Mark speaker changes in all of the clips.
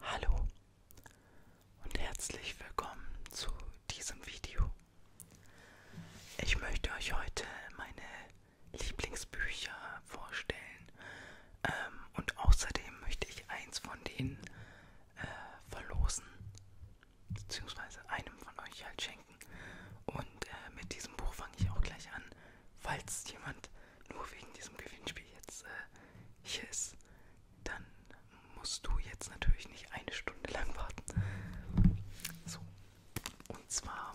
Speaker 1: Hallo und herzlich willkommen zu diesem Video. Ich möchte euch heute meine Lieblingsbücher vorstellen. Ähm, und außerdem möchte ich eins von denen äh, verlosen, beziehungsweise einem von euch halt schenken. Und äh, mit diesem Buch fange ich auch gleich an, falls jemand nur wegen diesem Gewinnspiel jetzt äh, hier ist. Dann musst du jetzt natürlich nicht eine Stunde lang warten. So, und zwar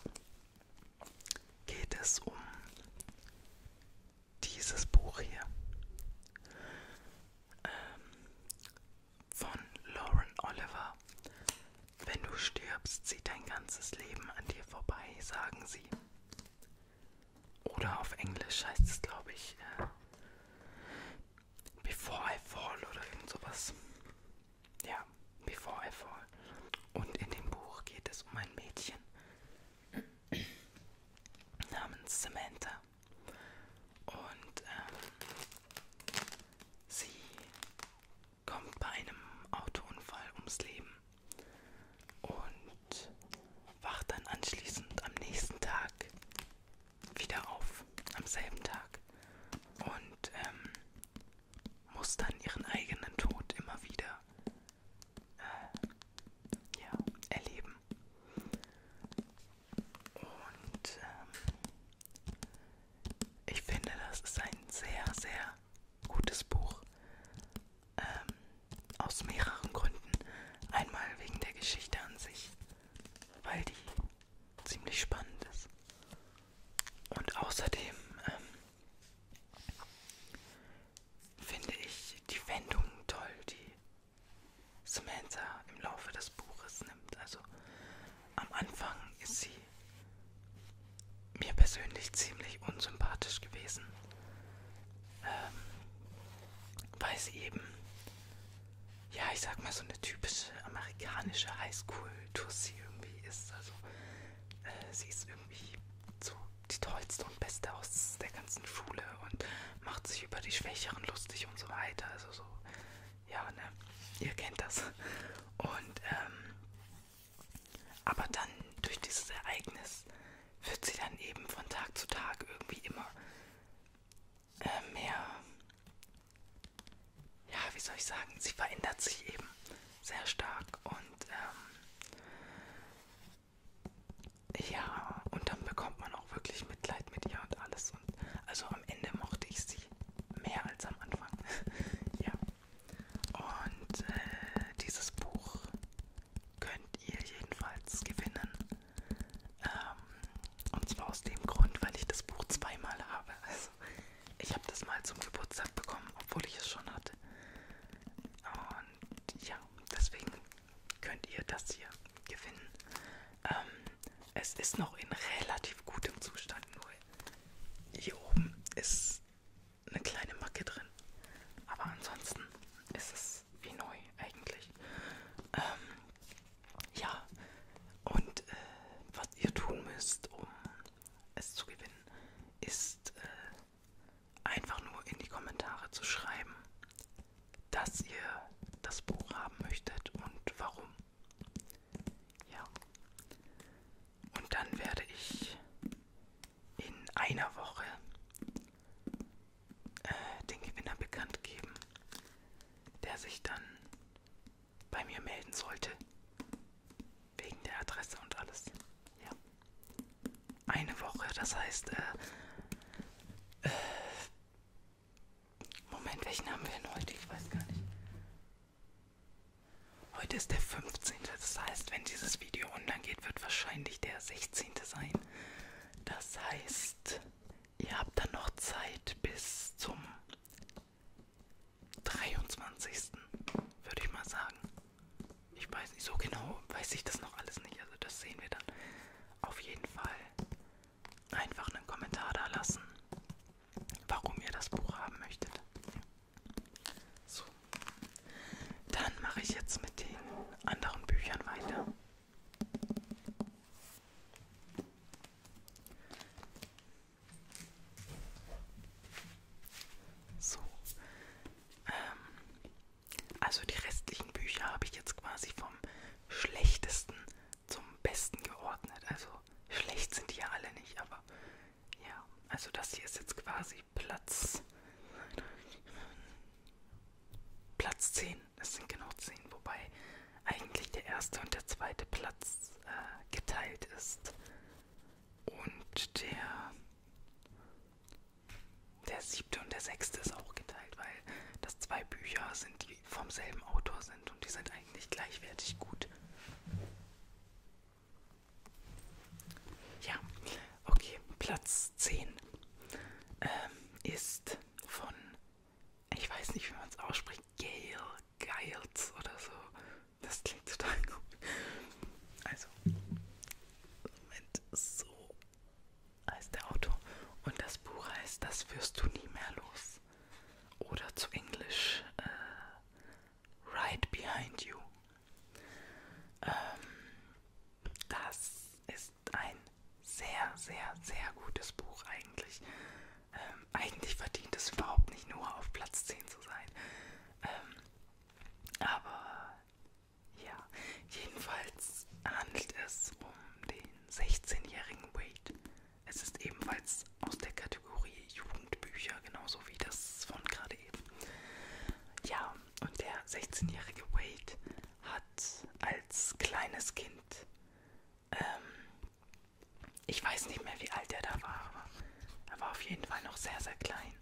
Speaker 1: geht es um dieses Buch hier ähm, von Lauren Oliver. Wenn du stirbst, zieht dein ganzes Leben an dir vorbei, sagen sie. Oder auf Englisch heißt es, glaube ich, äh, Before I Fall oder irgend sowas. Ja, Before I Fall. Und in dem Buch geht es um ein Mädchen namens Samantha. Und ähm, sie kommt bei einem Autounfall ums Leben und wacht dann anschließend am nächsten Tag wieder auf, am selben Tag. Und ähm, muss dann ihren eigenen Tod immer wieder äh, ja, erleben. Und ähm, ich finde, das ist ein sehr, sehr gutes Buch. Ähm, aus mehreren Gründen. Einmal wegen der Geschichte an sich, weil die ziemlich spannend ist. Und außerdem ähm, finde ich die Wendung toll, die Samantha im Laufe des Buches nimmt. Also am Anfang ist sie mir persönlich ziemlich unsympathisch gewesen, ähm, weil sie eben, ja, ich sag mal, so eine typische amerikanische Highschool-Tussi irgendwie ist. Also äh, sie ist irgendwie so die tollste und beste aus der ganzen Schule und macht sich über die Schwächeren lustig und so weiter. Also so, ja, ne? Ihr kennt das. Und, ähm, aber dann durch dieses Ereignis wird sie dann eben von Tag zu Tag irgendwie immer äh, mehr, ja, wie soll ich sagen, sie verändert sich eben sehr stark und ähm, ja, und dann bekommt man auch wirklich Mitleid mit ihr und alles. Und also am Ende mochte ich sie mehr als am Anfang. ja. Und äh, dieses Buch könnt ihr jedenfalls gewinnen. Ähm, und zwar aus dem Grund, weil ich das Buch zweimal habe. Also ich habe das mal zum Geburtstag bekommen, obwohl ich es schon hatte. Und ja, deswegen könnt ihr das hier gewinnen. Ähm, es ist noch in relativ gutem Zustand, nur hier oben ist eine kleine Macke drin. Aber ansonsten ist es wie neu eigentlich. Ähm, ja, und äh, was ihr tun müsst, um es zu gewinnen, ist äh, einfach nur in die Kommentare zu schreiben, dass ihr das Buch haben möchtet und warum. Ja. Und dann werde ich in einer Woche äh, den Gewinner bekannt geben, der sich dann bei mir melden sollte. Wegen der Adresse und alles. Ja. Eine Woche, das heißt, äh, äh, Moment, welchen haben wir denn heute? Ich weiß gar nicht. Heute ist der 15. Das heißt, wenn dieses Video online geht, wird wahrscheinlich der 16. sein. Das heißt, ihr habt dann noch Zeit bis zum 23. würde ich mal sagen. Ich weiß nicht, so genau weiß ich das noch alles nicht. Also das sehen wir dann. Auf jeden Fall einfach einen Kommentar da lassen, warum ihr das Buch haben möchtet. So. Dann mache ich jetzt mit den anderen Büchern weiter. So, ähm, also die restlichen Bücher habe ich jetzt quasi vom schlechtesten zum besten geordnet. Also schlecht sind die ja alle nicht, aber ja, also das hier ist jetzt quasi Platz Platz 10. Es sind genau 10, wobei eigentlich der erste und der zweite Platz äh, geteilt ist. Und der der siebte und der sechste ist auch geteilt, weil das zwei Bücher sind, die vom selben Autor sind und die sind eigentlich gleichwertig gut. Ja, okay, Platz 10 ähm, ist von, ich weiß nicht, wie man es ausspricht, Gail Geils oder so. Das klingt total gut. Also, Moment, so heißt der Autor. Und das Buch heißt Das wirst du nie mehr los. Oder zu Englisch äh, Right Behind You. Ähm, das ist ein sehr, sehr, sehr gutes Buch eigentlich. Ähm, eigentlich verdient es überhaupt nicht nur auf Platz 10 zu sein. Ähm, aber ja, jedenfalls handelt es um den 16-jährigen Wade. Es ist ebenfalls aus der Kategorie Jugendbücher, genauso wie das von gerade eben. Ja, und der 16-jährige Wade hat als kleines Kind, ähm, ich weiß nicht mehr, wie alt er da war, aber er war auf jeden Fall noch sehr, sehr klein,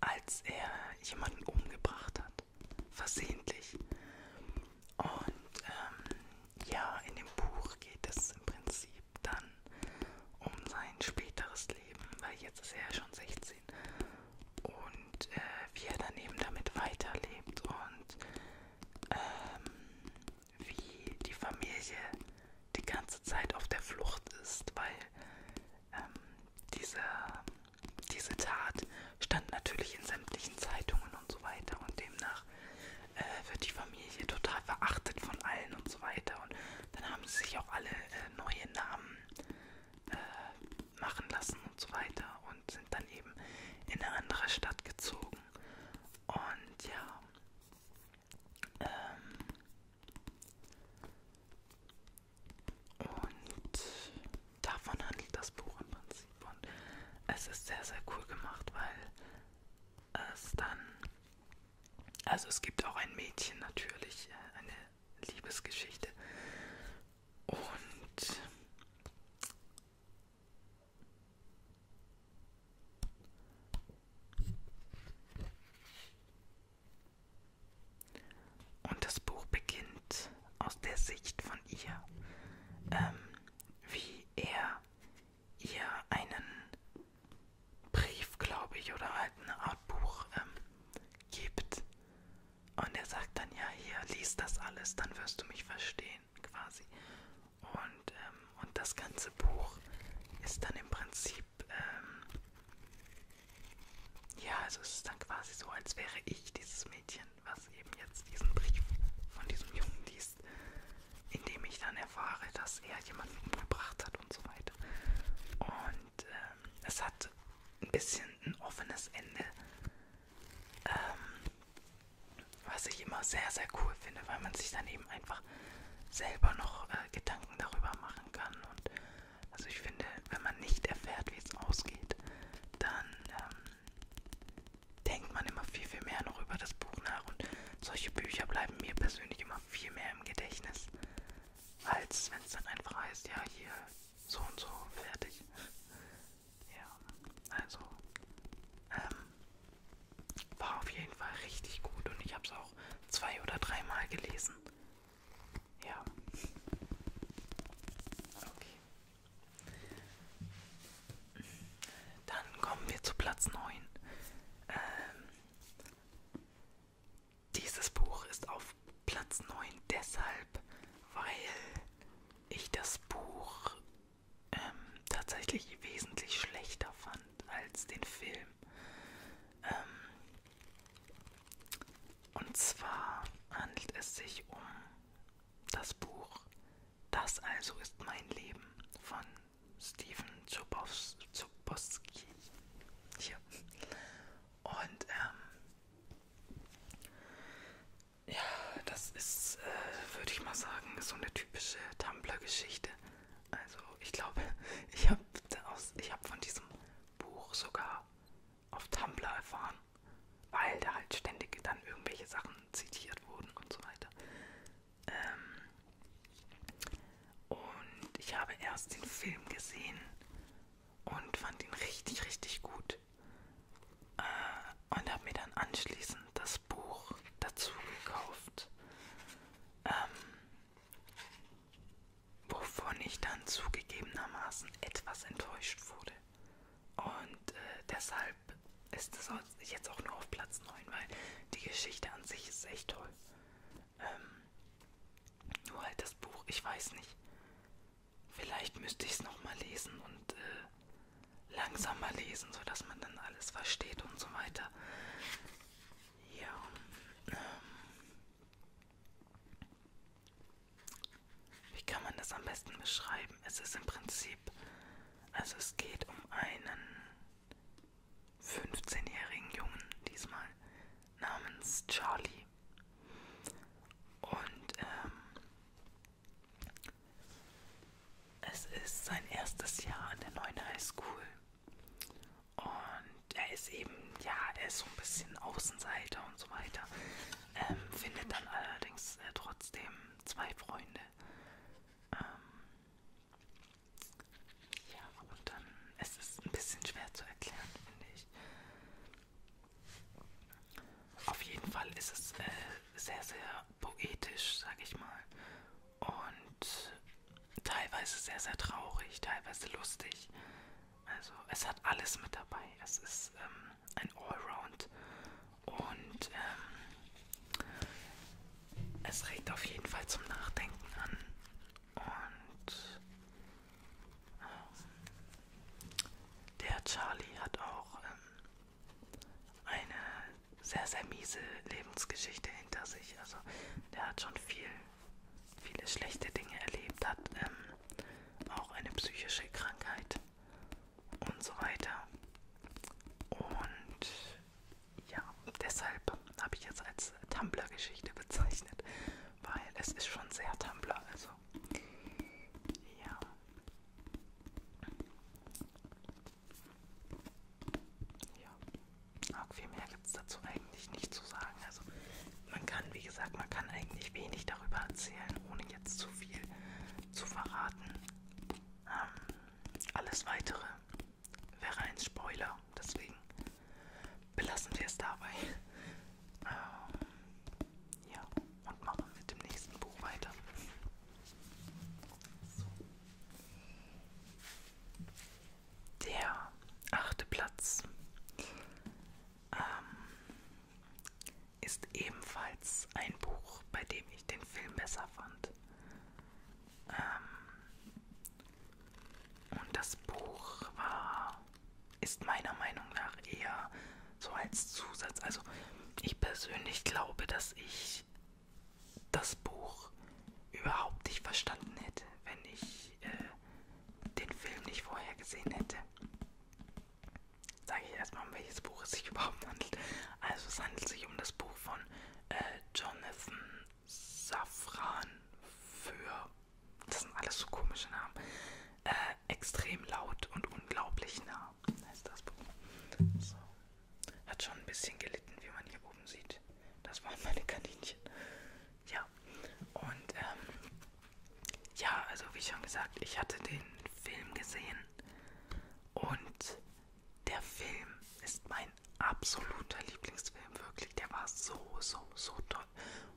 Speaker 1: als er jemanden umgebracht hat. Versehentlich. Und ähm, ja, in dem Buch geht es im Prinzip dann um sein späteres Leben, weil jetzt ist er ja schon 16 und äh, wie er daneben damit weiterlebt und ähm, wie die Familie die ganze Zeit auf der Flucht ist, weil ähm, diese, diese Tat stand natürlich in sämtlichen Zeitungen und so weiter und demnach äh, wird die Familie total verachtet von allen und so weiter und dann haben sie sich auch alle äh, neue Namen äh, machen lassen und so weiter und sind dann eben in eine andere Stadt gezogen und ja ähm, und davon handelt das Buch im Prinzip. Und es ist sehr, sehr cool gemacht, weil es dann. Also es gibt auch ein Mädchen natürlich, äh, eine Liebesgeschichte. Und und das Buch beginnt aus der Sicht von ihr, ähm, wie er ihr einen Brief, glaube ich, oder halt eine Art Buch ähm, gibt. Und er sagt dann, ja, hier, lies das alles, dann wirst du mich verstehen, quasi. Und, ähm, und das ganze Buch ist dann im Prinzip Prinzip, ähm, ja, also es ist dann quasi so, als wäre ich dieses Mädchen, was eben jetzt diesen Brief von diesem Jungen liest, in dem ich dann erfahre, dass er jemanden umgebracht hat und so weiter. Und ähm, es hat ein bisschen ein offenes Ende, ähm, was ich immer sehr, sehr cool finde, weil man sich dann eben einfach selber noch äh, Gedanken darüber machen kann und also ich finde, wenn man nicht erfährt, wie es ausgeht, dann ähm, denkt man immer viel, viel mehr noch über das Buch nach. Und solche Bücher bleiben mir persönlich immer viel mehr im Gedächtnis, als wenn es dann einfach heißt, ja, hier so und so fertig. Ja, also ähm, war auf jeden Fall richtig gut und ich habe es auch zwei oder dreimal gelesen. Ja. Okay. Dann kommen wir zu Platz 9. Ähm, dieses Buch ist auf Platz 9 deshalb, weil ich das Buch ähm, tatsächlich wesentlich schlechter fand als den Film. Ähm, und zwar handelt es sich um das Buch Das also ist mein Leben von Stephen Zubos Zuboski. Hier. Und ähm, ja, das ist, äh, würde ich mal sagen, so eine typische Tumblr-Geschichte. Also ich glaube, ich habe hab von diesem Buch sogar auf Tumblr erfahren, weil da halt ständig dann irgendwelche Sachen zitiert wurden und so weiter. Ähm und ich habe erst den Film gesehen und fand ihn richtig, richtig gut. Äh, und habe mir dann anschließend das Buch dazu gekauft. Ähm wovon ich dann zugegebenermaßen etwas enttäuscht wurde. Und äh, deshalb ist es jetzt auch nur auf Platz 9, weil die Geschichte an sich ist echt toll. Ähm, nur halt das Buch, ich weiß nicht. Vielleicht müsste ich es nochmal lesen und äh, langsamer lesen, sodass man dann alles versteht und so weiter. Ja. Ähm, wie kann man das am besten beschreiben? Es ist im Prinzip, also es geht um einen 15-jährigen Jungen diesmal namens Charlie. Und ähm, es ist sein erstes Jahr an der neuen High School. Und er ist eben, ja, er ist so ein bisschen Außenseiter und so weiter. Ähm, findet dann allerdings äh, trotzdem zwei Freunde. Ähm, ja, und dann es ist ein bisschen schwer zu erklären, finde ich. Auf jeden Fall ist es äh, sehr, sehr poetisch, sag ich mal. Und teilweise sehr, sehr traurig, teilweise lustig. Also es hat alles mit dabei. Es ist ähm, ein Allround und ähm, es regt auf jeden Fall zum Nachdenken an. Und ähm, der Charlie hat auch ähm, eine sehr, sehr miese Lebensgeschichte hinter sich. Also der hat schon viel viele schlechte Dinge erlebt hat, ähm, auch eine psychische Krankheit und so weiter. Und ja, deshalb habe ich jetzt als Tumblr-Geschichte bezeichnet, weil es ist schon sehr Tumblr, also ja. Ja. Auch viel mehr gibt es dazu eigentlich nicht zu sagen. Also man kann, wie gesagt, man kann eigentlich wenig darüber erzählen, ohne jetzt zu viel zu verraten. Ähm, alles weitere wäre ein Spoiler, deswegen belassen wir es dabei. Ähm, ja, und machen mit dem nächsten Buch weiter. So. Der achte Platz ähm, ist ebenfalls ein Buch, bei dem ich den Film besser fand. Ähm, und das Buch war, ist meiner Meinung nach eher so als Zusatz. Also ich persönlich glaube, dass ich das Buch überhaupt nicht verstanden hätte, wenn ich äh, den Film nicht vorher gesehen hätte, sage ich erstmal, um welches Buch es sich überhaupt handelt. Also es handelt sich um das Buch von äh, Jonathan Safran für, das sind alles so komische Namen, äh, extrem laut und unglaublich nah heißt das Buch. So. Hat schon ein bisschen gelitten, wie man hier oben sieht. Das waren meine Kaninchen. Ja, und ähm, ja, also wie schon gesagt, ich hatte den Film gesehen und der Film ist mein absoluter Lieblingsfilm, wirklich. Der war so, so, so toll.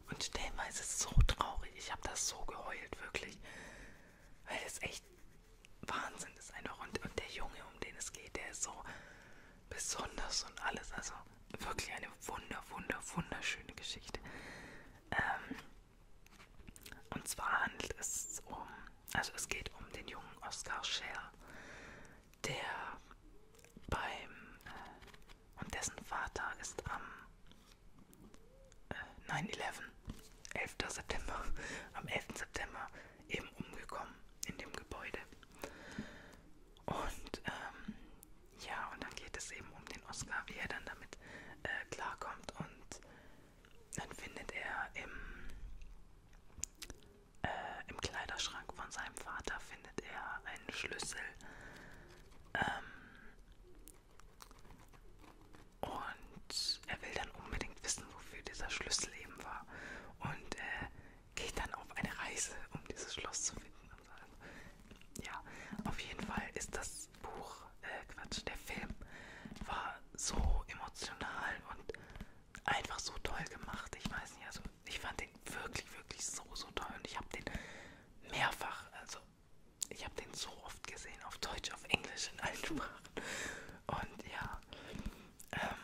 Speaker 1: Und stellenweise so traurig. Ich habe das so geheult, wirklich. Weil es echt Wahnsinn ist einfach. Und, und der Junge, um den es geht, der ist so besonders und alles. Also wirklich eine wunder, wunder, wunderschöne Geschichte. Ähm, und zwar handelt es um, also es geht um den jungen Oscar Scher, der beim, äh, und dessen Vater ist am äh, 9-11, 11. September, am 11. September eben umgekommen in dem Gebäude. Und ähm, ja, und dann geht es eben um den Oscar, wie er dann damit äh, klarkommt. Und dann findet er im, äh, im Kleiderschrank von seinem Vater findet er einen Schlüssel. Ähm, und er will dann unbedingt wissen, wofür dieser Schlüssel eben war. Und äh, geht dann auf eine Reise, um dieses Schloss zu finden. Ja, auf jeden Fall ist das Buch, äh, Quatsch, der Film war so emotional und einfach so toll gemacht. Ich weiß nicht, also ich fand den wirklich, wirklich so, so toll und ich habe den mehrfach, also ich habe den so oft gesehen, auf Deutsch, auf Englisch, in allen Sprachen. Und ja, ähm,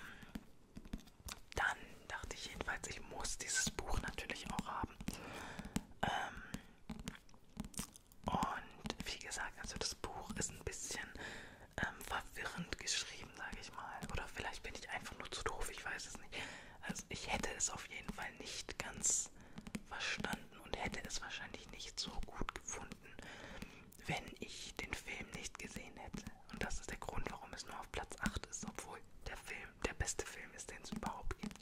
Speaker 1: dann dachte ich jedenfalls, ich muss dieses Buch natürlich auch haben. Ähm, und wie gesagt, also das Buch ist ein bisschen ähm, verwirrend geschrieben, sage ich mal. Oder vielleicht bin ich einfach nur zu doof, ich weiß es nicht. Also ich hätte es auf jeden Fall nicht ganz verstanden und hätte es wahrscheinlich nicht so gut gefunden, wenn ich den Film nicht gesehen hätte. Und das ist der Grund, warum es nur auf Platz 8 ist, obwohl der Film Film, der beste Film ist, den es überhaupt gibt.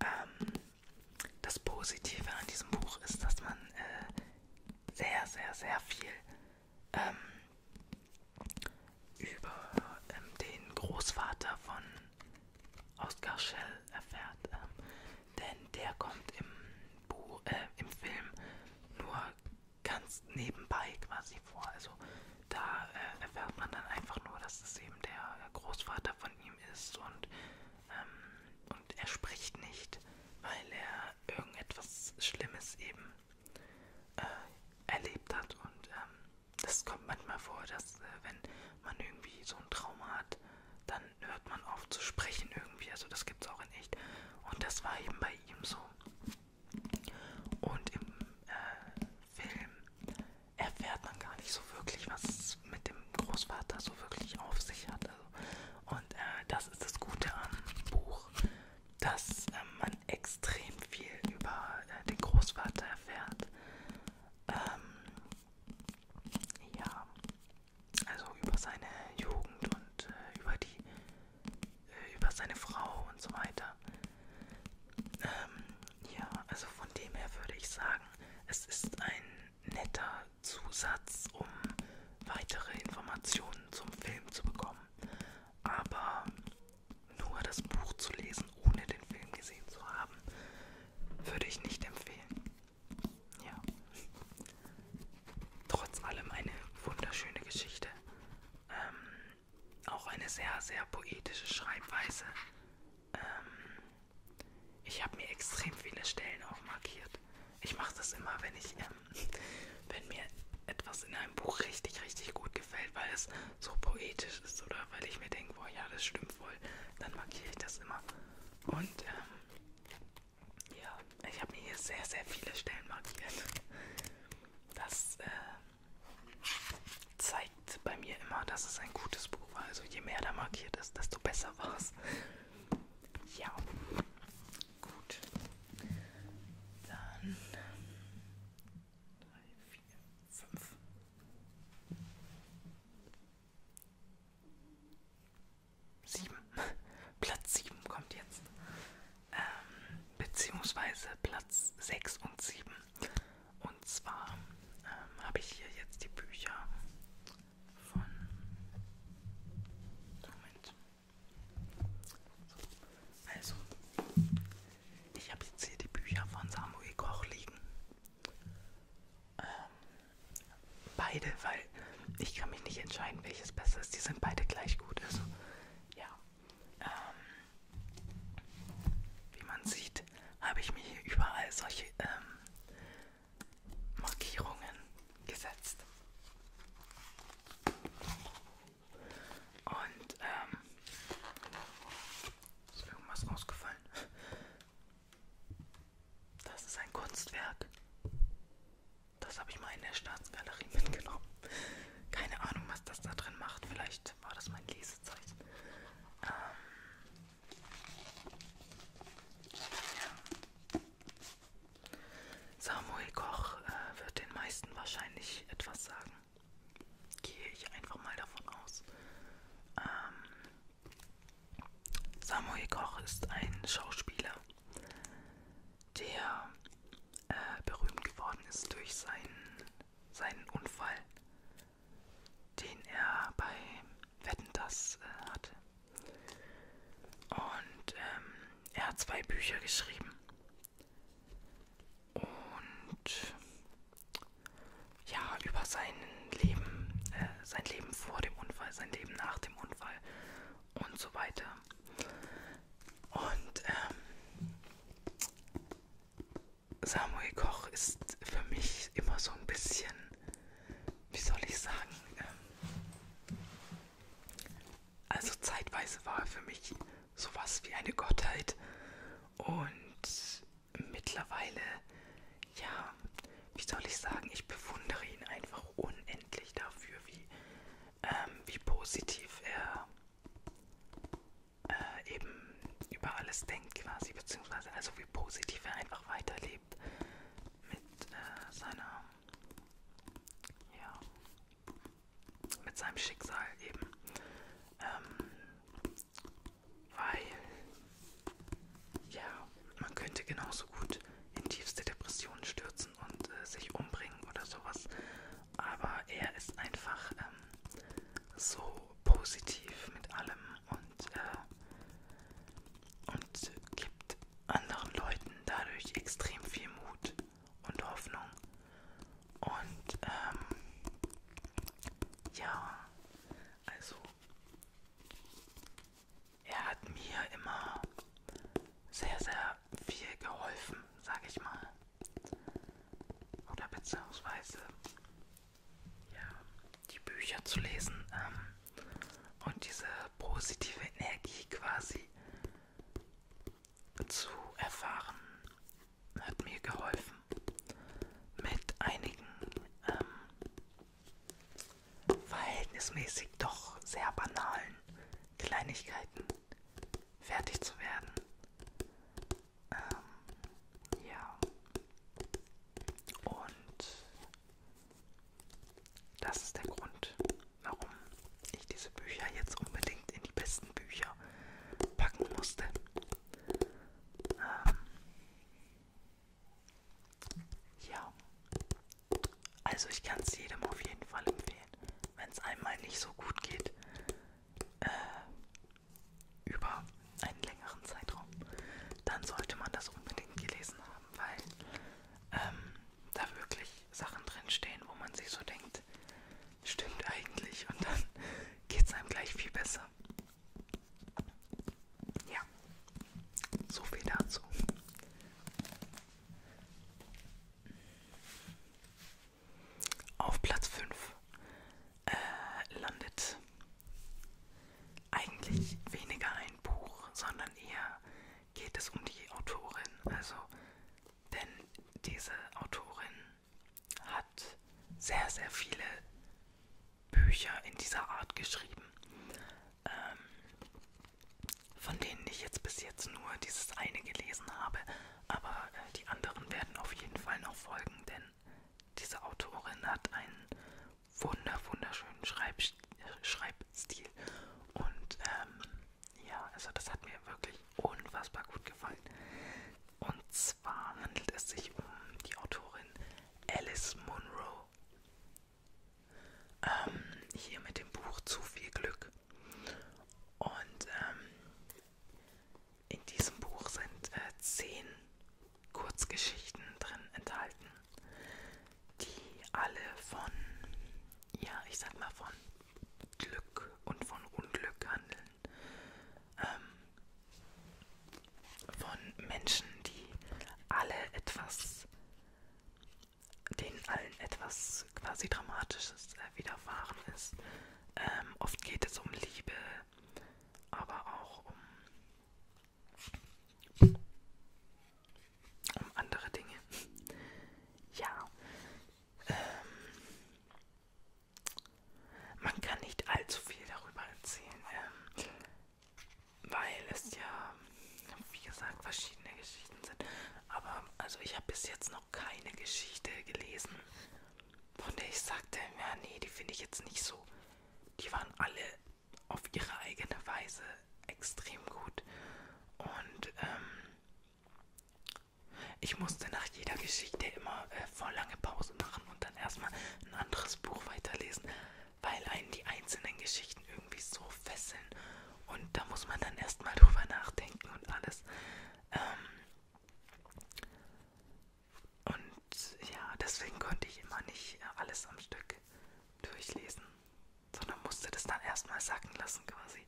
Speaker 1: Ähm, das Positive an diesem Buch ist, dass man äh, sehr, sehr, sehr viel ähm, über ähm, den Großvater von Oskar Schell erfährt. Ähm, denn der kommt im, Buch, äh, im Film nur ganz nebenbei quasi vor. Also da äh, erfährt man dann einfach nur, dass es eben der äh, Großvater von ihm ist und, ähm, und er spricht nicht, weil er irgendetwas Schlimmes eben äh, erlebt hat und ähm, das kommt manchmal vor, dass äh, wenn man irgendwie so ein Trauma hat, dann hört man auf zu sprechen irgendwie, also das gibt es auch in echt und das war eben bei ihm so und im äh, Film erfährt man gar nicht so wirklich, was es mit dem Großvater so wirklich auf sich hat. Also, und äh, das ist das Gute am Buch, dass äh, man extrem viel über äh, den Großvater erfährt. Ähm, ja, also über seine Jugend und äh, über die, äh, über seine Frau und so weiter. Ähm, ja, also von dem her würde ich sagen, es ist ein netter Zusatz, um weitere Informationen zum Film zu bekommen. Aber nur das Buch zu lesen, ohne den Film gesehen zu haben, würde ich nicht empfehlen. Ja. Trotz allem eine wunderschöne Geschichte. Ähm, auch eine sehr, sehr poetische Schreibweise. Ähm, ich habe mir extrem viele Stellen auch markiert. Ich mache das immer, wenn ich, ähm, wenn mir etwas in einem Buch richtig, richtig gut gefällt, weil es so poetisch ist oder weil ich mir denke, boah, ja, das stimmt wohl, dann markiere ich das immer. Und ähm, ja, ich habe mir hier sehr, sehr viele Stellen markiert. Das äh, zeigt bei mir immer, dass es ein gutes Buch war. Also je mehr da markiert ist, desto besser war es. Ja, gut. Dann drei, vier, fünf. Sieben. Platz 7 kommt jetzt. Ähm, beziehungsweise Platz 6 und 7 und zwar ähm, habe ich hier jetzt die Bücher von. Moment. So. Also, ich habe jetzt hier die Bücher von Samuel Koch liegen. Ähm, beide, weil ich kann mich nicht entscheiden, welches besser ist. Die sind beide gleich gut. Also, ja. Ähm, wie man sieht, habe ich mir hier überall solche ähm, Markierungen gesetzt. Und ähm, ist irgendwas rausgefallen. Das ist ein Kunstwerk. Das habe ich mal in der Staatsgalerie mitgenommen. Keine Ahnung, was das da drin macht. Vielleicht war das mein Leser so Zeug. Ähm, ja. Samuel Koch äh, wird den meisten wahrscheinlich etwas sagen. Gehe ich einfach mal davon aus. Ähm, Samuel Koch ist ein Schauspieler, der äh, berühmt geworden ist durch seinen seinen Unfall, den er bei Wetten das äh, hatte. Und ähm, er hat zwei Bücher geschrieben. Und ja, über sein Leben, äh, sein Leben vor dem Unfall, sein Leben nach dem Unfall und so weiter. Und ähm, Samuel Koch ist für mich immer so ein bisschen, wie soll ich sagen, ähm, also zeitweise war er für mich sowas wie eine Gottheit und mittlerweile, ja, wie soll ich sagen, ich bewundere ihn einfach unendlich dafür, wie, ähm, wie positiv er äh, eben über alles denkt quasi, beziehungsweise also wie positiv er einfach weiterlebt mit äh, seiner, ja, mit seinem Schicksal eben. Ähm, weil, ja, man könnte genauso gut in tiefste Depressionen stürzen und äh, sich umbringen oder sowas aber er ist einfach ähm, so positiv mit allem und, äh, und gibt anderen Leuten dadurch extrem viel Mut und Hoffnung. Und ähm, ja, also er hat mir immer sehr, sehr viel geholfen, sage ich mal oder beziehungsweise ja, die Bücher zu lesen ähm, und diese positive Energie quasi zu erfahren, hat mir geholfen mit einigen ähm, verhältnismäßig doch sehr banalen Kleinigkeiten fertig zu werden. Ähm, ja. Und das ist der Grund, warum ich diese Bücher jetzt unbedingt in die besten Bücher packen musste. Ähm, ja. Also ich kann es jedem auf jeden Fall empfehlen. Wenn es einmal nicht so gut geht, äh, über einen längeren Zeitraum, dann sollte man das unbedingt gelesen haben, weil ähm, da wirklich Sachen drin stehen, wo man sich so denkt, stimmt eigentlich und dann geht es einem gleich viel besser. Ja, so viel dazu. Auf Platz 5 äh, landet eigentlich weniger ein Buch, sondern eher geht es um die Autorin. Also, denn diese Autorin hat sehr, sehr viele Bücher in dieser Art geschrieben, ähm, von denen ich jetzt bis jetzt nur dieses eine gelesen habe. Aber äh, die anderen werden auf jeden Fall noch folgen, denn diese Autorin hat einen wunder wunderschönen Schreib Schreibstil. Und ähm, ja, also das hat mir wirklich unfassbar gut gefallen. Und zwar handelt es sich um die Autorin Alice Munro. Ähm, hier mit dem Buch Zu viel Glück. Und ähm, in diesem Buch sind äh, zehn Kurzgeschichten drin enthalten, die alle von, ja, ich sag mal, von Glück und von Unglück handeln. Ähm, von Menschen, die alle etwas, denen allen etwas quasi Dramatisches äh, widerfahren ist. Ähm, oft geht es um Liebe, aber auch um, um andere Dinge. ja. Ähm, man kann nicht allzu viel darüber erzählen, ähm, weil es ja, wie gesagt, verschiedene Geschichten sind. Aber also ich habe bis jetzt noch keine Geschichte gelesen, und ich sagte, ja, nee, die finde ich jetzt nicht so. Die waren alle auf ihre eigene Weise extrem gut. Und ähm, ich musste nach jeder Geschichte immer äh, voll lange Pause machen und dann erstmal ein anderes Buch weiterlesen, weil einen die einzelnen Geschichten irgendwie so fesseln. Und da muss man dann erstmal drüber nachdenken und alles. Ähm, und ja, deswegen konnte ich immer nicht äh, alles am Stück durchlesen, sondern musste das dann erstmal sacken lassen quasi.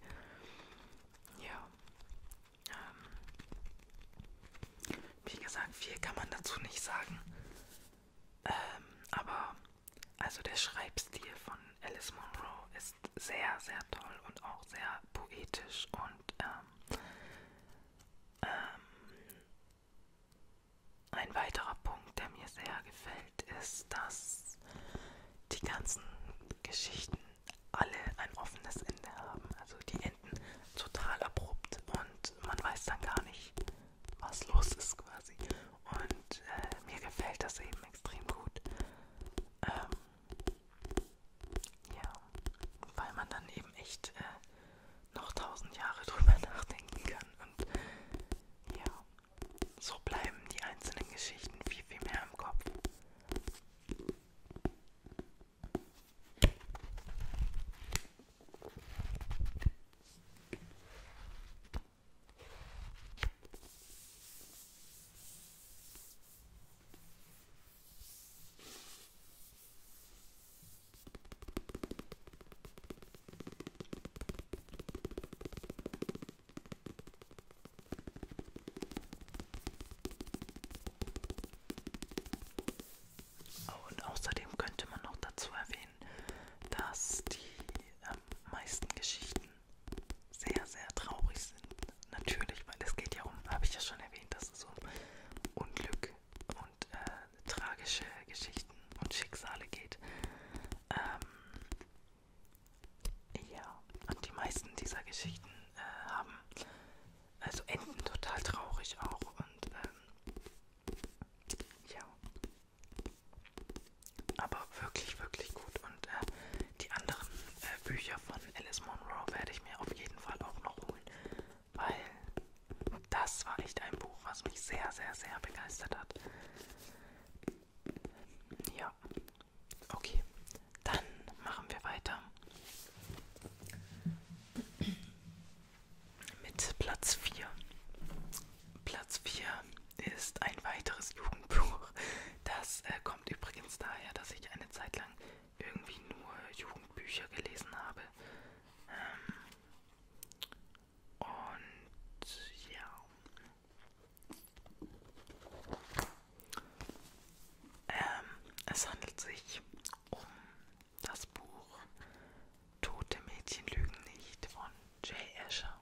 Speaker 1: Ja. Ähm, wie gesagt, viel kann man dazu nicht sagen. Ähm, aber also der Schreibstil von Alice Monroe ist sehr, sehr toll und auch sehr poetisch und äh, ähm, ein weiterer Punkt, der mir sehr gefällt, ist, dass die ganzen Geschichten alle ein offenes Ende haben. Also die enden total abrupt und man weiß dann gar nicht, was los ist quasi. Und äh, mir gefällt das eben extrem gut. Ähm, ja, weil man dann eben echt äh, noch tausend Jahre drüber nachdenken kann. Und ja, so bleiben die einzelnen Geschichten viel, viel mehr im Kopf. Oh, und außerdem könnte man noch dazu erwähnen, dass die ähm, meisten Geschichten sehr, sehr traurig sind. Natürlich, weil es geht ja um, habe ich ja schon erwähnt, ist so Unglück und äh, tragische Geschichten und Schicksale geht. Ähm, ja, und die meisten dieser Geschichten äh, haben, also enden total traurig auch und ähm, ja, aber wirklich, wirklich gut und äh, die anderen äh, Bücher von Alice Monroe werde ich mir auf jeden Fall auch noch holen, weil das war echt ein Buch, was mich sehr, sehr, sehr begeistert hat. Ja, okay, dann machen wir weiter mit Platz 4. Platz 4 ist ein weiteres Jugendbuch. Das äh, kommt übrigens daher, dass ich eine Zeit lang irgendwie nur Jugendbücher gelesen habe. Ähm, und ja. Ähm, es handelt sich um das Buch Tote Mädchen lügen nicht von Jay Asher,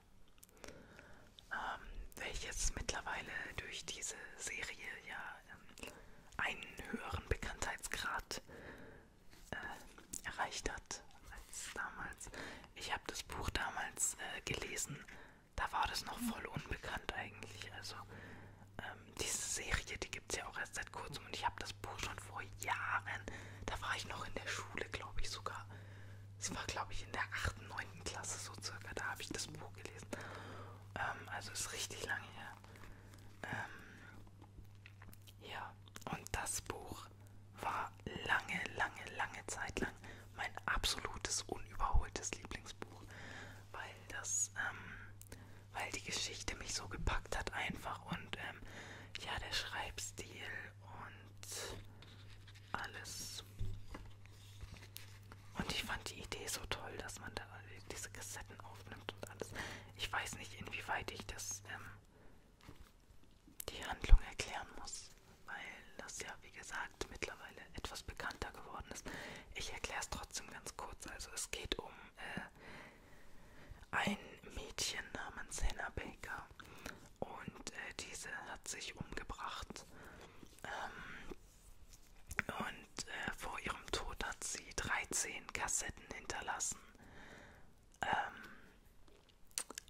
Speaker 1: ähm, welches mittlerweile durch diese Serie ja ähm, einen höheren Bekanntheitsgrad äh, erreicht hat als damals. Ich habe das Buch damals äh, gelesen, da war das noch voll unbekannt eigentlich. Also ähm, diese Serie, die gibt es ja auch erst seit kurzem und ich habe das Buch schon vor Jahren, da war ich noch in der Schule, glaube ich sogar. Es war, glaube ich, in der 8., 9. Klasse so circa, da habe ich das Buch gelesen. Ähm, also ist richtig lange her. Ähm, ja, und das Buch war lange, lange, lange Zeit lang mein absolutes, unüberholtes Lieblingsbuch, weil das, ähm, weil die Geschichte mich so gepackt hat einfach und ähm, ja, der Schreibstil und alles. Und ich fand die Idee so toll, dass man da diese Kassetten aufnimmt und alles. Ich weiß nicht, inwieweit ich das ähm, die Handlung erklären muss, weil das ja, wie gesagt, mittlerweile etwas bekannter geworden ist. Ich erkläre es trotzdem ganz kurz. Also es geht um äh, ein Mädchen namens Hannah Baker und äh, diese hat sich umgebracht. Ähm, und äh, vor ihrem Tod hat sie 13 Kassetten hinterlassen ähm,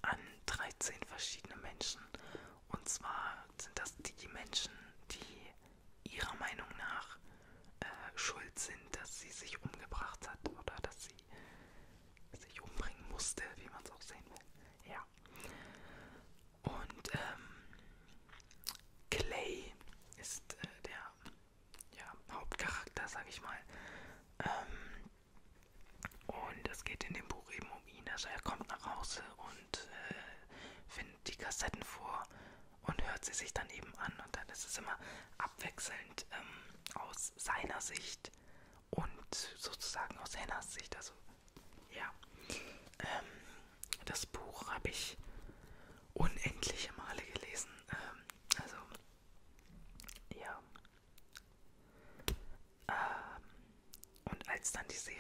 Speaker 1: an 13 verschiedene Menschen. Und zwar sind das die Menschen, die ihrer Meinung nach äh, schuld sind, dass sie sich umgebracht hat oder dass sie sich umbringen musste, wie man es auch sehen will. Ja. Und ähm, Clay ist äh, der ja, Hauptcharakter, sag ich mal. Ähm, und es geht in dem Buch eben um ihn. Also er kommt nach Hause und äh, findet die Kassetten vor und hört sie sich dann eben an. Und dann ist es immer abwechselnd ähm, aus seiner Sicht und sozusagen aus Hennas Sicht. Also ja. Ähm, das Buch habe ich unendliche Male gelesen. Ähm, also, ja. Ähm, und als dann die Serie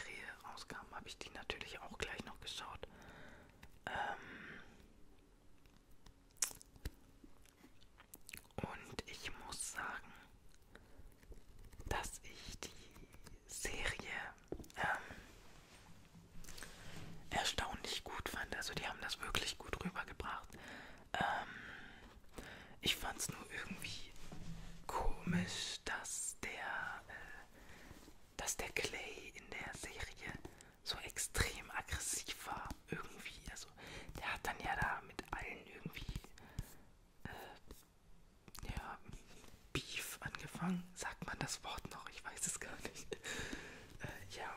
Speaker 1: rauskam, habe ich die natürlich auch gleich noch geschaut. Ähm, und ich muss sagen, dass ich die Serie ähm, erstaunlich gut fand. Also die haben das wirklich gut rübergebracht. Ähm, ich fand es nur irgendwie komisch, dass der, äh, dass der Clay in der Serie so extrem aggressiv war. Irgendwie. Also der hat dann ja da mit allen irgendwie... Äh, ja, Beef angefangen. Sagt man das Wort noch? Ich weiß es gar nicht. äh, ja.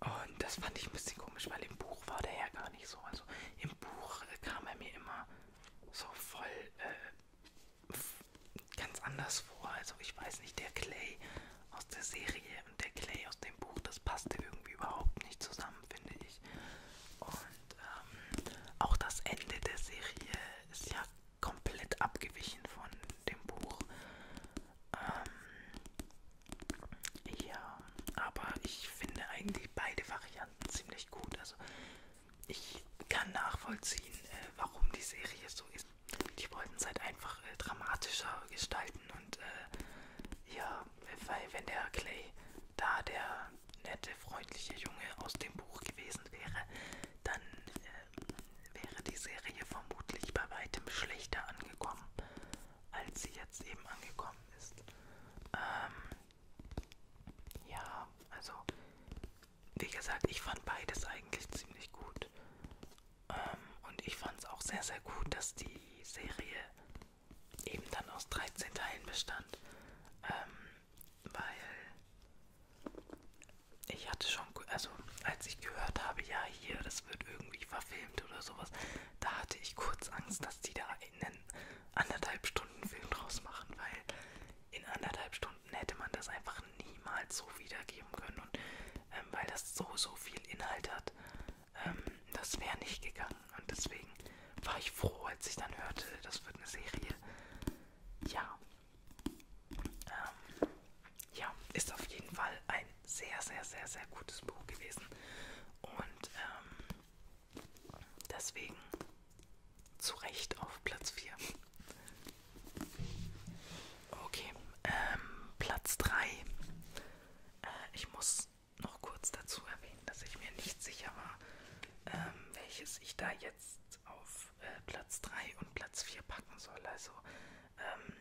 Speaker 1: Und das fand ich ein bisschen komisch, weil im Buch war der ja gar nicht so. Also im Buch äh, kam er mir immer so voll äh, ganz anders vor. Also ich weiß nicht, der Clay aus der Serie und der Clay aus dem Buch, das passte irgendwie überhaupt nicht zusammen, finde ich. Und ähm, auch das Ende der Serie ist ja komplett abgewichen von dem Buch. Ähm, ja, aber ich finde eigentlich beide Varianten ziemlich gut. Also ich kann nachvollziehen, äh, warum die Serie so ist. Die wollten es halt einfach äh, dramatischer gestalten und äh, ja, weil wenn der Clay da der nette, freundliche Junge aus dem Buch gewesen wäre, dann äh, wäre die Serie vermutlich bei weitem schlechter angekommen, als sie jetzt eben angekommen ist. Ähm, ja, also wie gesagt, ich fand beides eigentlich ziemlich gut. Ähm, und ich fand es auch sehr, sehr gut, dass die Serie eben dann aus 13 Teilen bestand. Ähm, weil ich hatte schon, also als ich gehört habe, ja hier, das wird irgendwie verfilmt oder sowas, da hatte ich kurz Angst, dass die da einen anderthalb Stunden Film draus machen, weil in anderthalb Stunden hätte man das einfach niemals so wiedergeben können und ähm, weil das so, so viel Inhalt hat, ähm, das wäre nicht gegangen und deswegen war ich froh, als ich dann hörte, das wird eine Serie. Ja, ähm, ja, ist auf jeden Fall ein sehr, sehr, sehr, sehr gutes Buch gewesen. Und ähm, deswegen zu Recht auf Platz 4. Okay, ähm, Platz 3. Äh, ich muss noch kurz dazu erwähnen, dass ich mir nicht sicher war, ähm, welches ich da jetzt jetzt auf äh, Platz 3 und Platz 4 packen soll. Also ähm,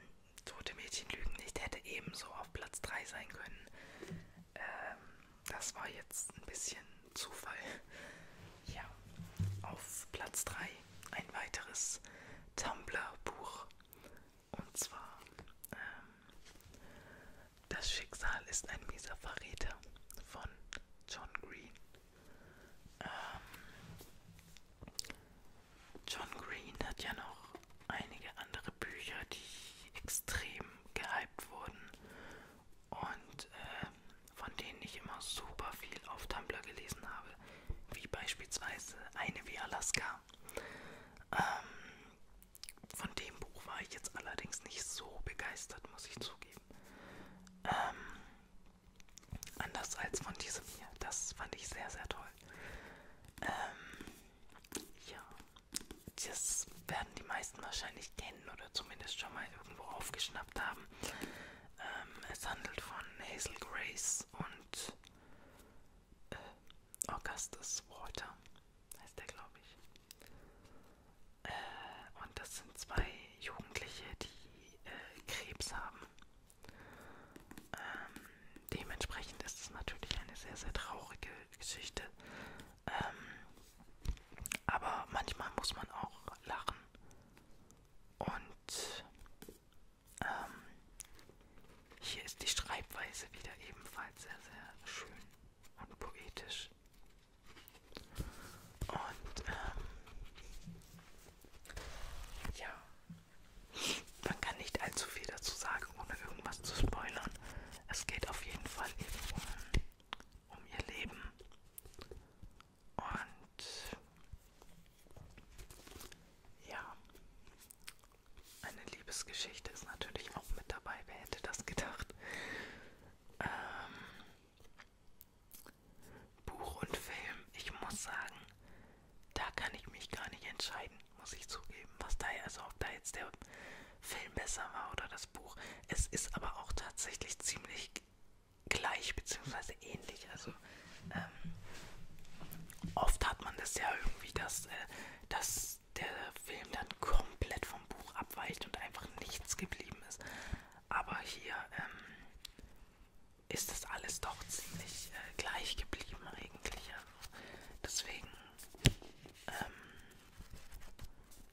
Speaker 1: Tote Mädchen lügen nicht hätte ebenso auf Platz 3 sein können. Ähm, das war jetzt ein bisschen Zufall. Ja, auf Platz 3 ein weiteres Tumblr-Buch. Und zwar ähm, Das Schicksal ist ein mieser Verräter von John Green. Ähm, John Green hat ja noch einige andere Bücher, die extrem gehypt wurden und äh, von denen ich immer super viel auf Tumblr gelesen habe, wie beispielsweise eine wie Alaska. Ähm, von dem Buch war ich jetzt allerdings nicht so begeistert, muss ich zugeben. Ähm, Anders als von diesem hier. Das fand ich sehr, sehr toll. Ähm, ja, das werden die meisten wahrscheinlich kennen oder zumindest schon mal irgendwo aufgeschnappt haben. Ähm, es handelt von Hazel Grace und äh, Augustus Walter, heißt der, glaube ich. Äh, und das sind zwei Jugendliche, die die äh, Krebs haben. Ähm, dementsprechend ist es natürlich eine sehr, sehr traurige Geschichte. Ähm, aber manchmal muss man auch lachen. Und ähm, hier ist die Schreibweise wieder ebenfalls sehr, sehr schön und poetisch. Und ähm, ja, man kann nicht allzu viel dazu sagen, ohne irgendwas zu spoilern. Es geht auf jeden Fall eben um, um ihr Leben. Und ja, eine Liebesgeschichte ist natürlich auch mit dabei. Wer hätte das gedacht? Ähm, Buch und Film, ich muss sagen, da kann ich mich gar nicht entscheiden, muss ich zugeben. Was da, also ob da jetzt der Film besser war oder das Buch. Es ist aber auch tatsächlich ziemlich gleich bzw. ähnlich. Also ähm, oft hat man das ja irgendwie, dass, äh, dass der Film dann komplett vom Buch abweicht und einfach nichts geblieben ist. Aber hier ähm, ist das alles doch ziemlich äh, gleich geblieben eigentlich. Also deswegen ähm,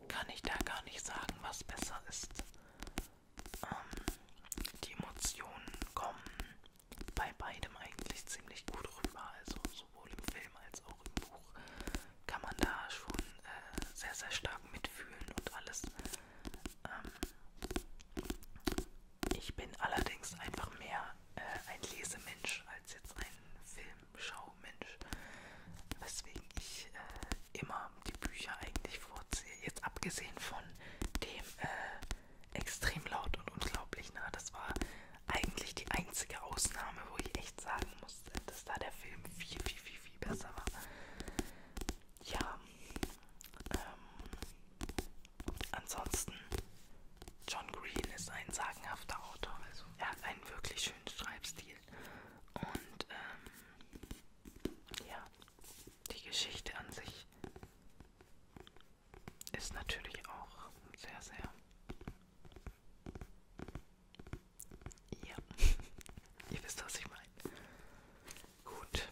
Speaker 1: kann ich da gar nicht sagen, was besser ist. Ähm, die Emotionen kommen bei beidem eigentlich ziemlich gut rüber. Also sowohl im Film als auch im Buch kann man da schon äh, sehr, sehr stark mitfühlen und alles ähm, ich bin allerdings einfach mehr äh, ein Lesemensch als jetzt ein Filmschaumensch, weswegen ich äh, immer die Bücher eigentlich vorziehe. Jetzt abgesehen von dem äh, extrem laut und unglaublich nah, das war eigentlich die einzige Ausnahme, wo ich echt sagen musste, dass da der Film viel, viel, viel, viel besser war ja, ähm, ansonsten, John Green ist ein sagenhafter Autor. Also er hat einen wirklich schönen Schreibstil. Und ähm, ja, die Geschichte an sich ist natürlich auch sehr, sehr... Ja, ihr wisst, was ich meine. Gut,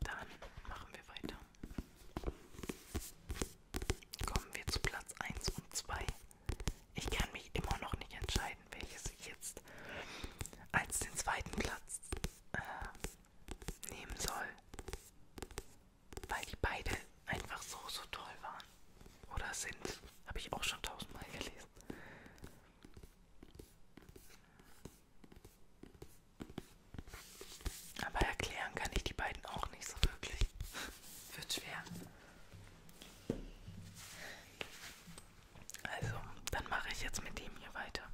Speaker 1: dann machen wir weiter. Kommen wir zu Platz 1 und 2. Ich kann mich immer noch nicht entscheiden, welches ich jetzt als den zweiten Platz äh, nehmen soll. Weil die beide einfach so, so toll waren. Oder sind. Habe ich auch schon tausendmal gelesen. Aber erklären kann ich die beiden auch nicht so wirklich. Wird schwer. Also, dann mache ich jetzt mit dem hier weiter.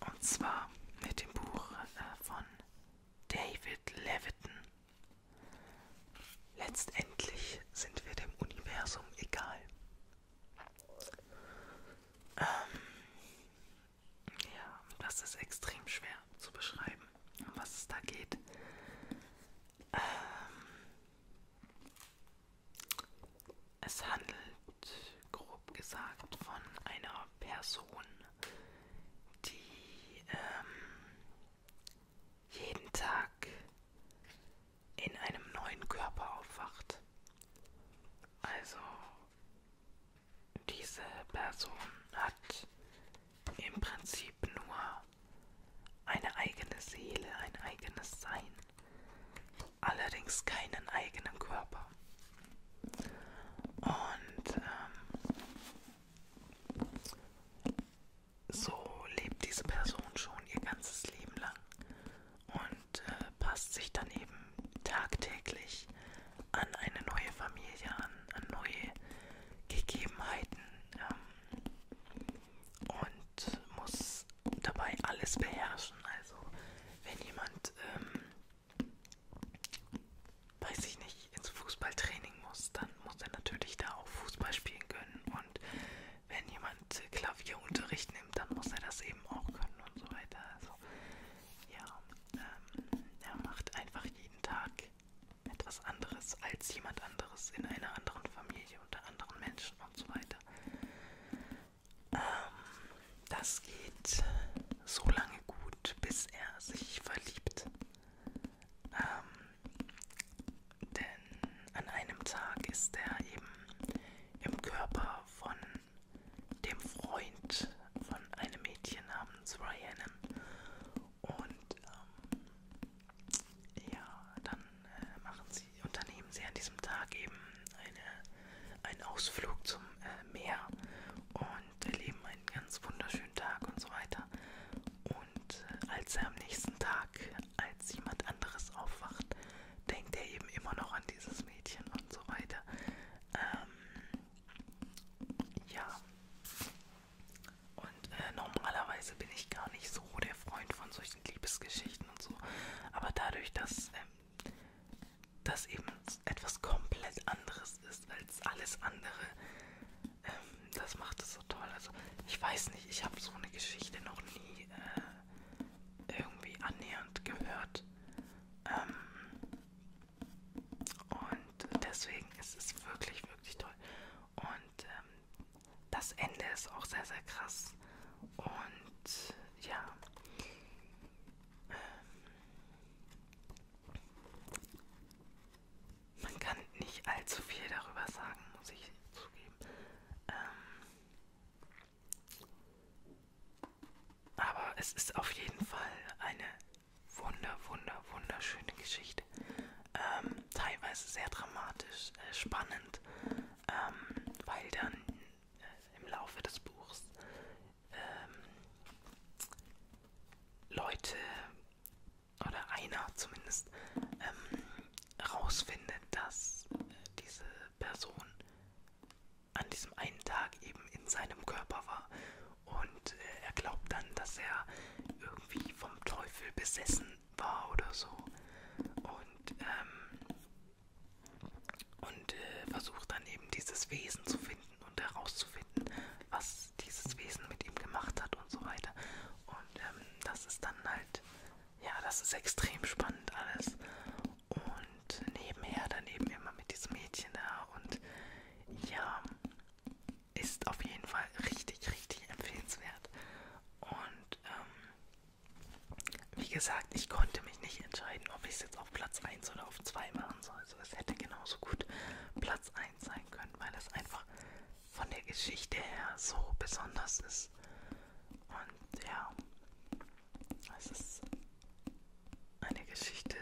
Speaker 1: Und zwar mit dem Buch äh, von David Leviton. Letztendlich sind wir dem Universum egal. Ähm, ja, das ist extrem schwer zu beschreiben, um was es da geht. Ähm, es handelt grob gesagt von einer Person, die ähm, jeden Tag in einem neuen Körper aufwacht. Also diese Person hat im Prinzip nur eine eigene Seele, ein eigenes Sein, allerdings keinen eigenen Körper. Und ähm, so lebt diese Person schon ihr ganzes Leben lang und äh, passt sich dann eben tagtäglich an eine neue Familie an, an neue Gegebenheiten ähm, und muss dabei alles beherrschen. Also wenn jemand, ähm, weiß ich nicht, ins Fußballtraining muss, dann muss er natürlich da auch Fußball spielen können und wenn jemand Klavierunterricht nimmt, dann muss er das eben auch können und so weiter. Also ja, ähm, er macht einfach jeden Tag etwas anderes als jemand anderes in einer anderen Familie, unter anderen Menschen und so weiter. Ähm, das geht so lange gut, bis er sich verliebt. Ähm, denn an einem Tag ist er eben im Körper von dem Freund von einem Mädchen namens Ryan. Und ähm, ja, dann äh, machen sie, unternehmen sie an diesem Tag eben eine, einen Ausflug zum äh, Meer und erleben einen ganz wunderschönen Tag und so weiter. Und äh, als er am nächsten Tag, als jemand anderes aufwacht, denkt er eben immer noch an dieses Mädchen und so weiter. Ähm, ja. Und äh, normalerweise bin ich gar nicht so der Freund von solchen Liebesgeschichten und so. Aber dadurch, dass ähm, das eben etwas komplett anderes ist als alles andere, ähm, das macht es so toll. Also ich weiß nicht, ich habe so eine Geschichte noch nie äh, irgendwie annähernd gehört. Ähm, und deswegen ist es wirklich, wirklich toll. Und ähm, das Ende ist auch sehr, sehr krass. Und ja. Ähm, man kann nicht allzu viel darüber sagen, muss ich zugeben. Ähm, aber es ist auf jeden Fall eine wunder, wunder, wunderschöne Geschichte. Ähm, teilweise sehr dramatisch, äh, spannend, ähm, weil dann äh, im Laufe des Buchs ähm, Leute oder einer zumindest ähm, rausfindet, dass äh, diese Person an diesem einen Tag eben in seinem Körper war. Und äh, er glaubt dann, dass er irgendwie vom Teufel besessen war oder so. Und, ähm, und äh, versucht dann eben dieses Wesen zu finden und herauszufinden, was dieses Wesen mit ihm gemacht hat und so weiter. Und ähm, das ist dann halt ja, das ist extrem spannend alles. Und nebenher dann eben immer mit diesem Mädchen da und ja, ist auf jeden Fall richtig, richtig empfehlenswert. Und ähm, wie gesagt, ich konnte mich nicht entscheiden, ob ich es jetzt auf Platz 1 oder auf 2 machen soll. Also es hätte genauso gut Platz 1 sein können, weil es einfach von der Geschichte her so besonders ist. Und ja, es ist eine Geschichte,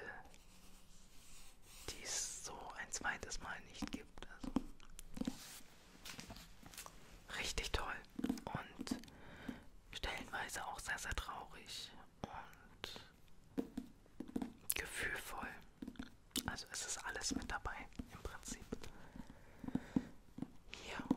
Speaker 1: die es so ein zweites Mal nicht gibt. Also richtig toll und stellenweise auch sehr, sehr traurig und gefühlvoll. Also es ist alles mit dabei im Prinzip. Ja.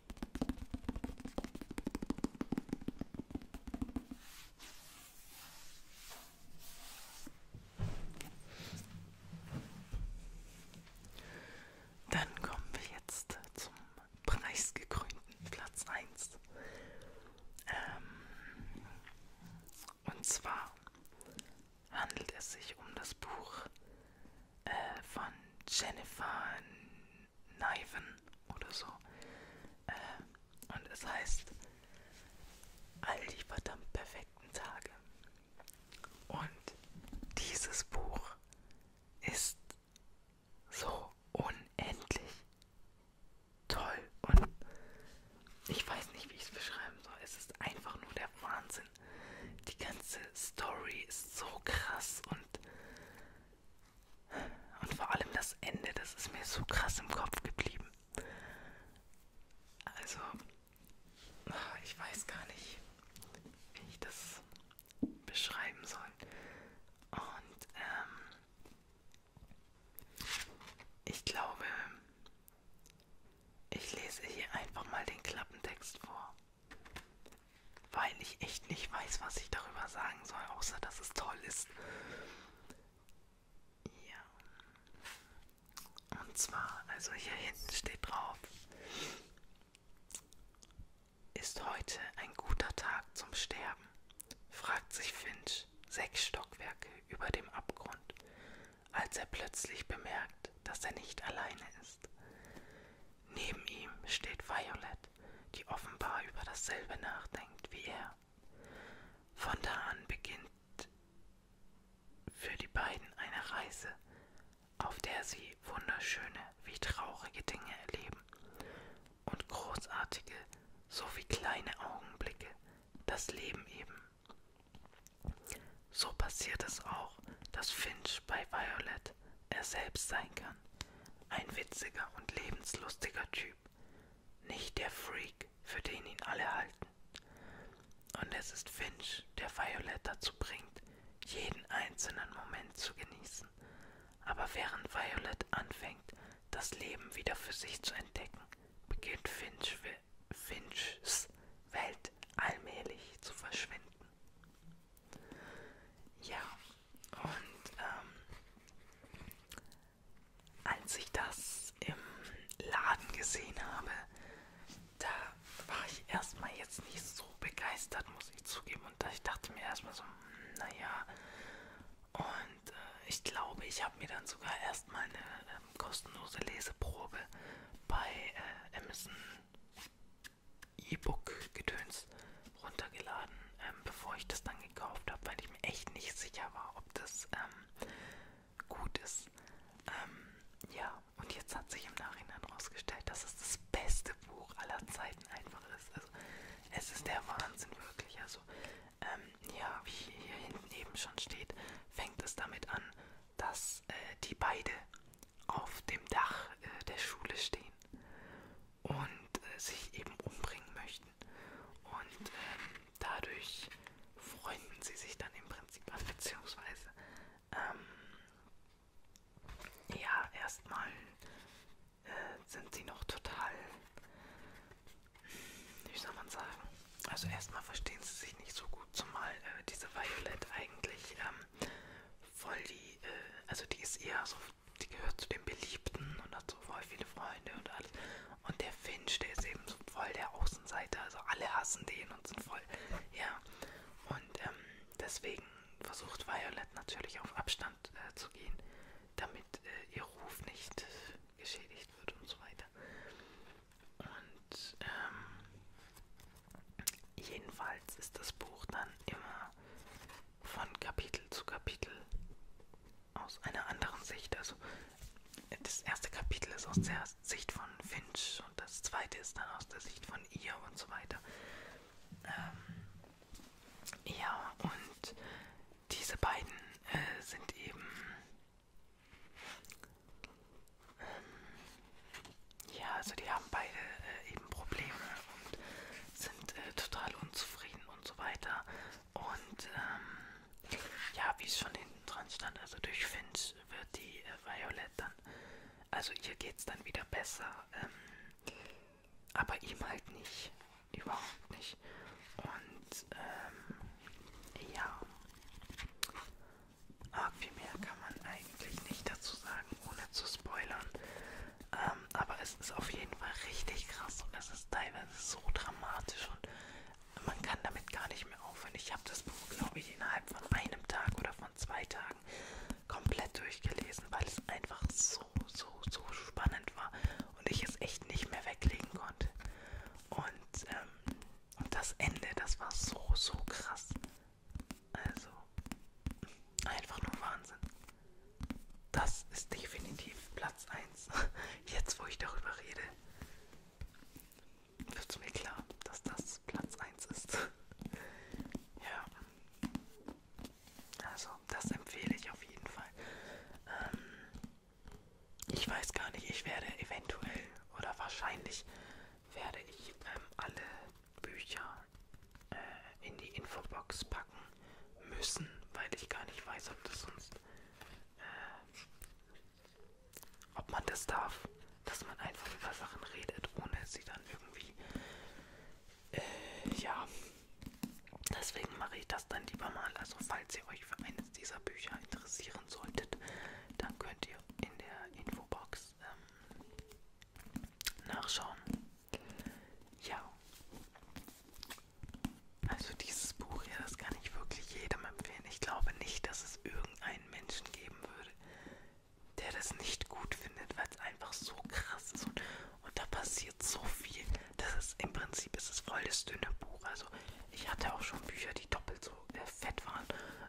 Speaker 1: Dann kommen wir jetzt zum preisgekrönten Platz 1. Ähm, und zwar handelt es sich um das Buch äh, von Jennifer Niven oder so. Äh, und es heißt All die verdammt perfekten Tage. Und dieses Buch ist so unendlich toll. Und ich weiß nicht, wie ich es beschreiben soll. Es ist einfach nur der Wahnsinn. Die ganze Story ist so krass und und vor allem das Ende, das ist mir so krass im Kopf geblieben. Also, ich weiß gar nicht, wie ich das beschreiben soll. Und ähm, ich glaube, ich lese hier einfach mal den Klappentext vor weil ich echt nicht weiß, was ich darüber sagen soll, außer dass es toll ist. Ja. Und zwar, also hier hinten steht drauf, ist heute ein guter Tag zum Sterben, fragt sich Finch sechs Stockwerke über dem Abgrund, als er plötzlich bemerkt, dass er nicht alleine ist. Neben ihm steht Violet, die offenbar über dasselbe nachdenkt wie er. Von da an beginnt für die beiden eine Reise, auf der sie wunderschöne wie traurige Dinge erleben und großartige sowie kleine Augenblicke, das Leben eben. So passiert es auch, dass Finch bei Violet ist, er selbst sein kann. Ein witziger und lebenslustiger Typ. Nicht der Freak, für den ihn alle halten. Und es ist Finch, der Violet dazu bringt, jeden einzelnen Moment zu genießen. Aber während Violet anfängt, das Leben wieder für sich zu entdecken, beginnt Finch, Finchs Welt allmählich zu verschwinden. Ja, und ähm, als ich das im Laden gesehen habe, da war ich erstmal jetzt nicht so begeistert, muss ich zugeben. Und ich dachte mir erstmal so, hm, naja. Und äh, ich glaube, ich habe mir dann sogar erstmal eine ähm, kostenlose Leseprobe bei äh, Amazon E-Book-Gedöns runtergeladen, ähm, bevor ich das dann gekauft habe, weil ich mir echt nicht sicher war, ob das ähm, gut ist. Ähm, ja, und jetzt hat sich im Nachhinein herausgestellt, dass es das beste Buch aller Zeiten einfach ist. Also, es ist der Wahnsinn wirklich. Also, ähm, ja, wie hier hinten eben schon steht, fängt es damit an, dass äh, die beide auf dem Dach äh, der Schule stehen und äh, sich eben umbringen möchten. Und ähm, dadurch freunden sie sich dann im Prinzip an, beziehungsweise ähm, ja, erstmal äh, sind sie noch total, wie soll man sagen, also erstmal verstehen sie sich nicht so gut, zumal äh, diese Violet eigentlich ähm, voll die, äh, also die ist eher so die gehört zu den Beliebten und hat so voll viele Freunde und alles. Und der Finch, der ist eben so voll der Außenseiter, also alle hassen den und sind voll, ja. Und ähm, deswegen versucht Violet natürlich auf Abstand äh, zu gehen, damit äh, ihr Ruf nicht äh, geschädigt wird und so weiter. Und ähm, jedenfalls ist das Buch dann immer von Kapitel zu Kapitel aus einer anderen Sicht. Also das erste Kapitel ist aus der Sicht von Finch und das zweite ist dann aus der Sicht von ihr und so weiter. Ähm, ja, und diese beiden äh, sind eben ähm, ja, also die haben beide äh, eben Probleme und sind äh, total unzufrieden und so weiter. Und ähm, ja, wie es schon hinten dran stand, also durch Finch wird die äh, Violet dann, also ihr geht's dann wieder besser, ähm, aber ihm halt nicht, überhaupt nicht. Und ähm, ja, arg viel mehr kann man eigentlich nicht dazu sagen, ohne zu spoilern. Ähm, aber es ist auf jeden Fall richtig krass und es ist teilweise so dramatisch und man kann damit gar nicht mehr aufhören. Ich habe das Buch, glaube ich, innerhalb von einem Tag oder von zwei Tagen komplett durchgelesen, weil es einfach so, so, so spannend war und ich es echt nicht mehr weglegen konnte. Und, ähm, und das Ende, das war so, so krass. Also, einfach nur Wahnsinn. Das ist definitiv Platz 1. Jetzt, wo ich darüber rede, wird mir klar, dass das Platz 1 ist. Ja. Also, das empfehle ich auf jeden Fall. Ähm, ich weiß gar nicht, ich werde eventuell oder wahrscheinlich werde ich ähm, alle Bücher äh, in die Infobox packen müssen, weil ich gar nicht weiß, ob das sonst, äh, ob man das darf, dass man einfach über Sachen redet, ohne sie dann irgendwie, äh, ja. Deswegen mache ich das dann lieber mal. Also falls ihr euch für eines dieser Bücher interessieren solltet, dann könnt ihr in der Infobox ähm, nachschauen. Ja. Also dieses Buch hier, das kann ich wirklich jedem empfehlen. Ich glaube nicht, dass es irgendeinen Menschen geben würde, der das nicht gut findet, weil es einfach so krass ist und, und da passiert so viel. Das ist im Prinzip ist es voll das dünne Buch. Also ich hatte auch schon Bücher, die doppelt so äh, fett waren,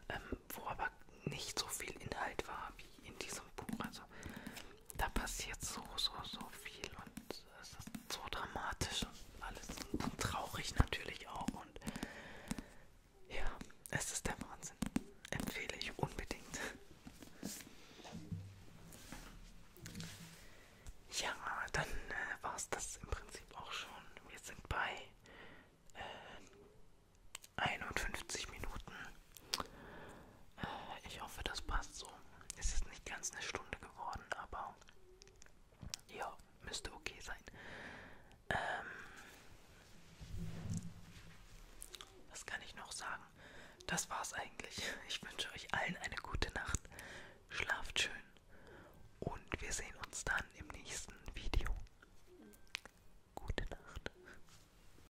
Speaker 1: ähm, wo aber nicht so viel Inhalt war wie in diesem Buch. Also da passiert so, so, so viel und es ist so dramatisch und alles und, und traurig natürlich auch und ja, es ist der Wahnsinn. Empfehle ich unbedingt. Ja, dann äh, war es das im Prinzip auch schon. Wir sind bei äh, 51 Minuten. Äh, ich hoffe, das passt so. Es ist nicht ganz eine Stunde geworden, aber ja, müsste okay sein. Ähm, was kann ich noch sagen? Das war's eigentlich. Ich wünsche euch allen eine gute Nacht. Schlaft schön. Und wir sehen uns dann im nächsten Video. Gute Nacht.